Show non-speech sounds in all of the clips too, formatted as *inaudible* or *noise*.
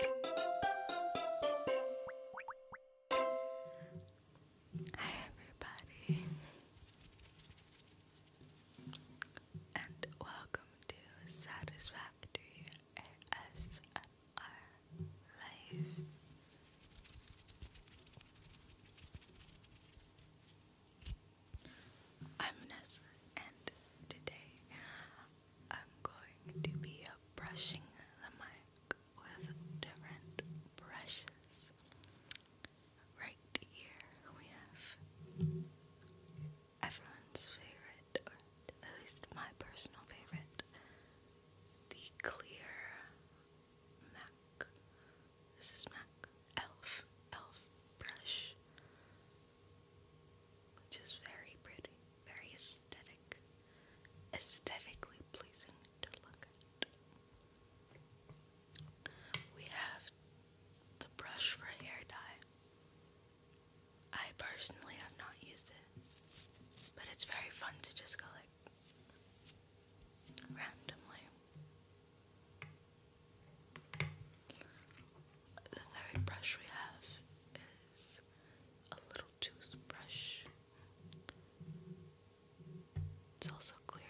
Hi, everybody, and welcome to Satisfactory ASMR Life. I'm Vanessa, and today I'm going to be brushing the mic with different brushes. Right here we have everyone's favorite, at least my personal favorite, the clear MAC. This is MAC Elf Elf brush which is very pretty, very aesthetic, aesthetically pleasing to look at. We have the brush for hair dye. I personally have not used it, but it's very fun to just go like randomly. The third brush we have is a little toothbrush. It's also clear.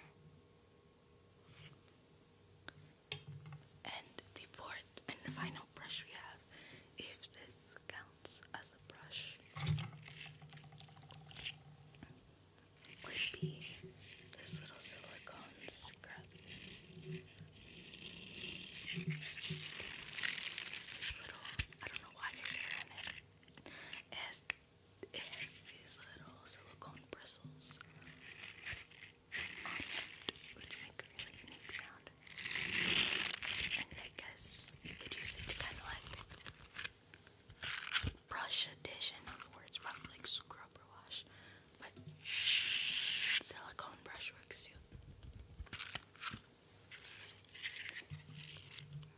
And the fourth and final brush we have, if this counts as a brush, would be this little silicone scrub. This little, I don't know why they say that it. has, these little silicone bristles which make a really unique sound. And I guess you could use it to kind of like brush a dish in other words, probably like scrub or wash. But silicone brush works too.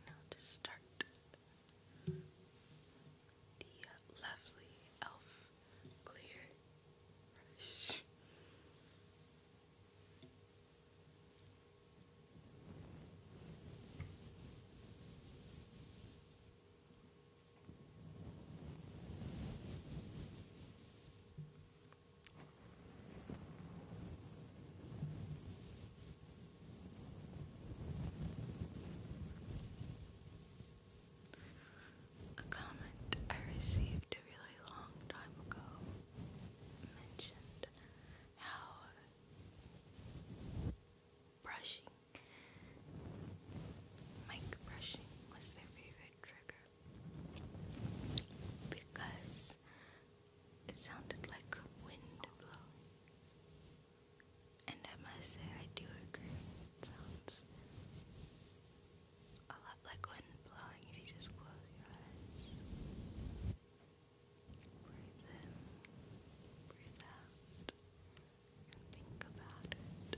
Now to start the lovely elf clear a comment I received a really long time ago mentioned how brushing, mic brushing was their favorite trigger because it sounded like wind blowing. And I must say, I do agree. It sounds a lot like wind blowing if you just close your eyes. Breathe in, breathe out, and think about it.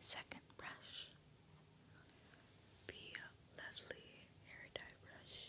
Second brush, the lovely hair dye brush.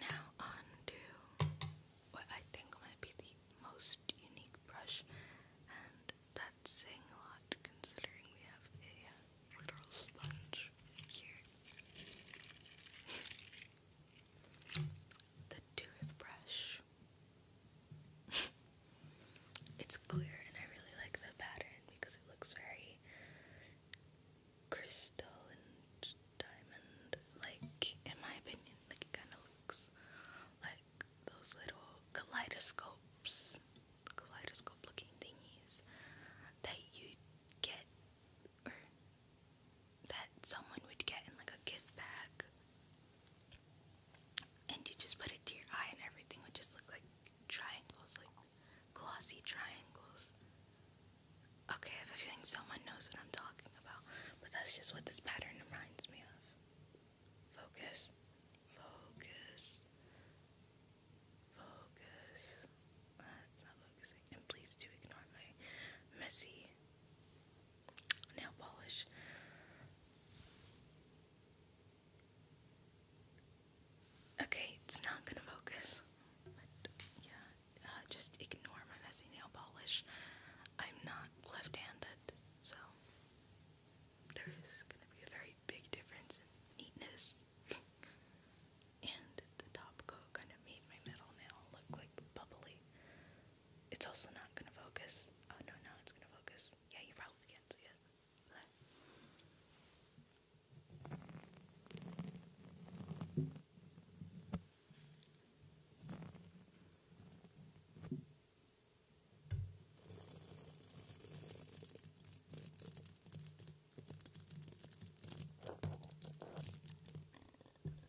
Now on to what I think might be the most unique brush, and that's saying a lot considering we have a literal sponge here. *laughs* The toothbrush. *laughs* it's clear and I really like the pattern because it looks very crystal and diamond like in my opinion like it kind of looks like those little kaleidoscopes kaleidoscope looking thingies that you get that someone would get in like a gift bag. And you just put it to your eye and everything would just look like triangles, like glossy triangles. Okay, I have a feeling someone knows what I'm talking about, but that's just what this pattern reminds me of. Focus, focus, focus. That's not focusing. And please do ignore my messy nail polish. Okay, it's not gonna focus. yeah, uh, just ignore my messy nail polish. I'm not left-handed, so there is gonna be a very big difference in neatness. *laughs* and the top coat kind of made my middle nail look like bubbly. It's also not gonna focus. Oh no, now it's gonna focus. Yeah, you probably can't see it.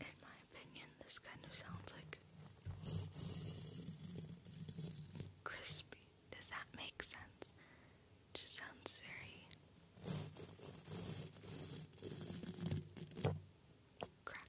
In my opinion, this kind of sounds like crispy. Does that make sense? just sounds very crackly.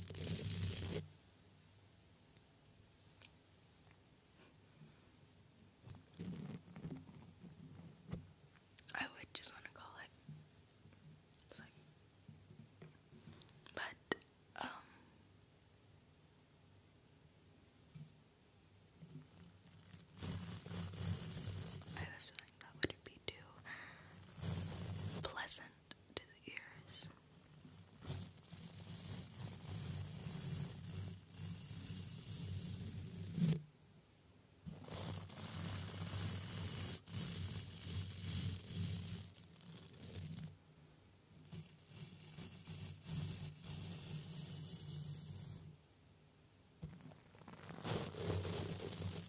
I would just want to call it. but um, I have a feeling that would be too pleasant to the ears. Now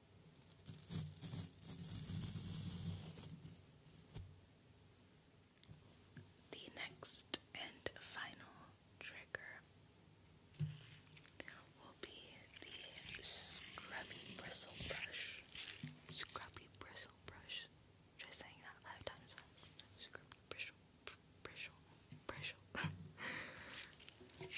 The next and final trigger will be the scrubby bristle brush. Scrubby bristle brush. Try saying that five times fast. Scrubby bristle, bristle, bristle. *laughs*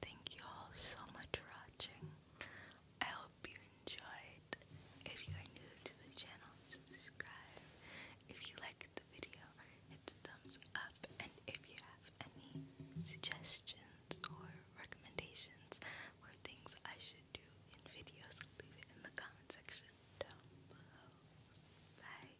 Thank you all so much for watching. I hope you enjoyed. If you are new to the channel, subscribe. If you liked the video, hit the thumbs up. And if you have any suggestions or recommendations for things I should do in videos, leave it in the comment section down below. Bye.